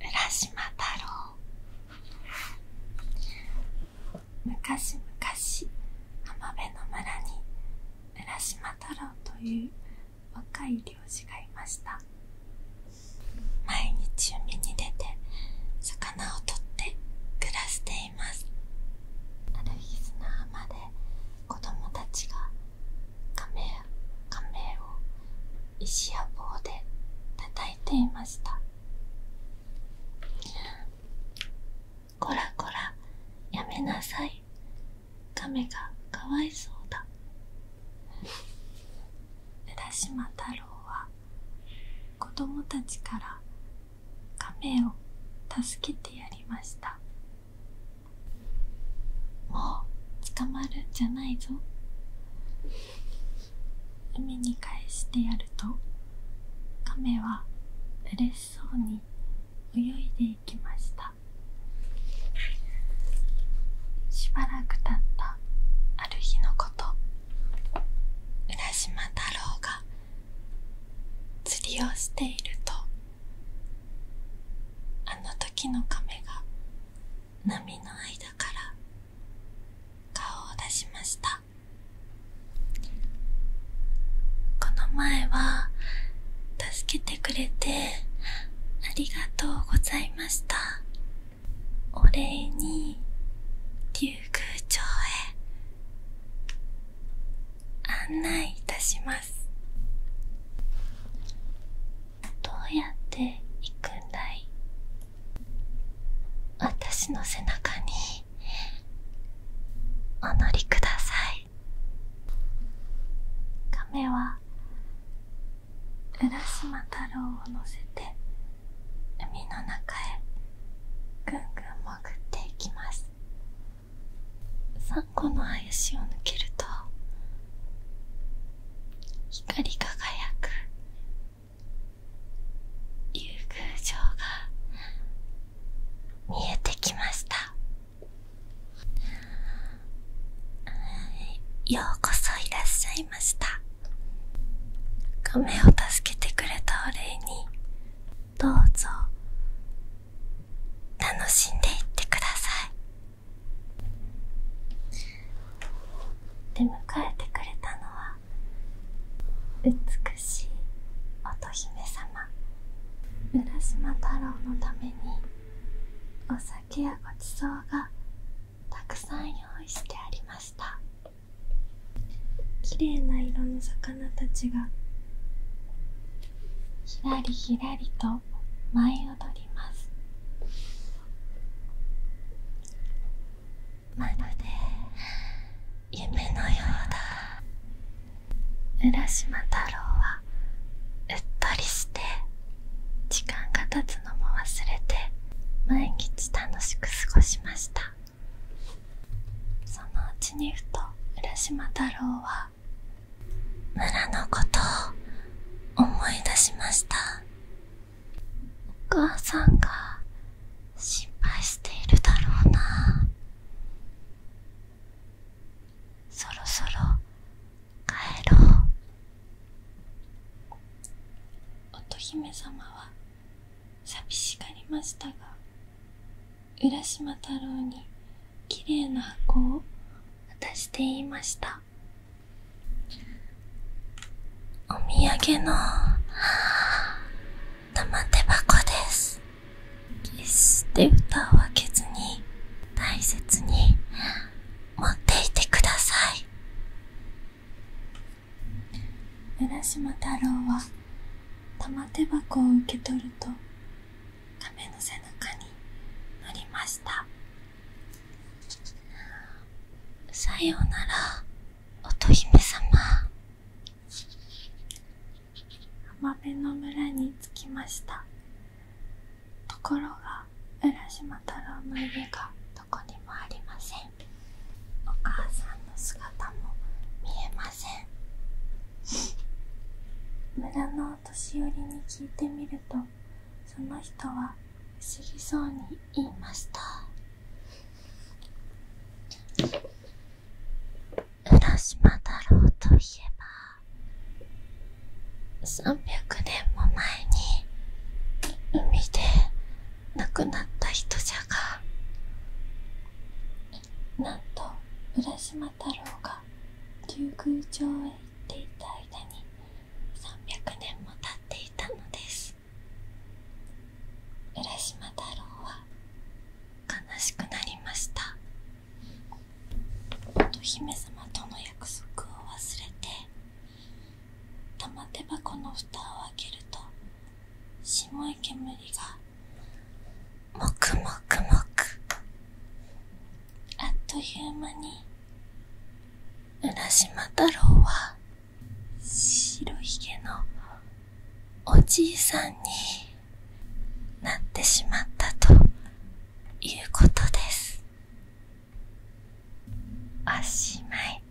浦島太郎昔々浜辺の村に浦島太郎という若い漁師がいました毎日海に出て魚をとって暮らしていますある日浜で子供たが亀や亀を石や棒で叩いていましたコラコラやめなさい亀がかわいそうだ浦島太郎は子供たちから亀を助けてやりましたもう捕まるんじゃないぞ海に返してやると亀は嬉しそうに泳いでいきましたしばらくたったある日のこと浦島太郎が釣りをしているとあの時の亀が波の間から顔を出しましたこの前は助けてくれてありがとうございましたお礼に竜宮城へ案内いたしますどうやって行くんだい私の背中にお乗りください亀は浦島太郎を乗せて海の中へぐんぐん潜っていきますサンゴのしを抜けると光り輝く竜宮城が見えてきましたようこそいらっしゃいました亀を助けてくれたお礼にどうぞ楽しんでいってください出迎えてくれたのは美しい乙姫様浦島太郎のためにお酒やごちそうがたくさん用意してありました綺麗な色の魚たちがひらりひらりと舞い踊りますまるで夢のようだ浦島太郎はうっとりして時間が経つのも忘れて毎日楽しく過ごしましたそのうちにふと浦島太郎は村のことを思い出しましたお母さんが心配しているだろうなそろそろ帰ろう乙姫様は寂しがりましたが浦島太郎にきれいな箱を渡して言いましたお土産の玉手箱です決して歌を開けずに大切に持っていてください浦島太郎は玉手箱を受け取ると亀の背中に乗りましたさようなら乙姫様浜辺の村に着きましたところが浦島太郎の家がどこにもありませんお母さんの姿も見えません村のお年寄りに聞いてみるとその人は不思議そうに言いました浦島太郎といえば300年も前に海で亡くなった人じゃがなんと浦島太郎が竜宮城へ行っていた間に300年も経っていたのです浦島太郎は悲しくなりました乙姫様との約束を忘れて玉手箱の蓋を開けると白い煙がもくもくもくあっという間に浦島太郎は白ひげのおじいさんになってしまったということですおしまい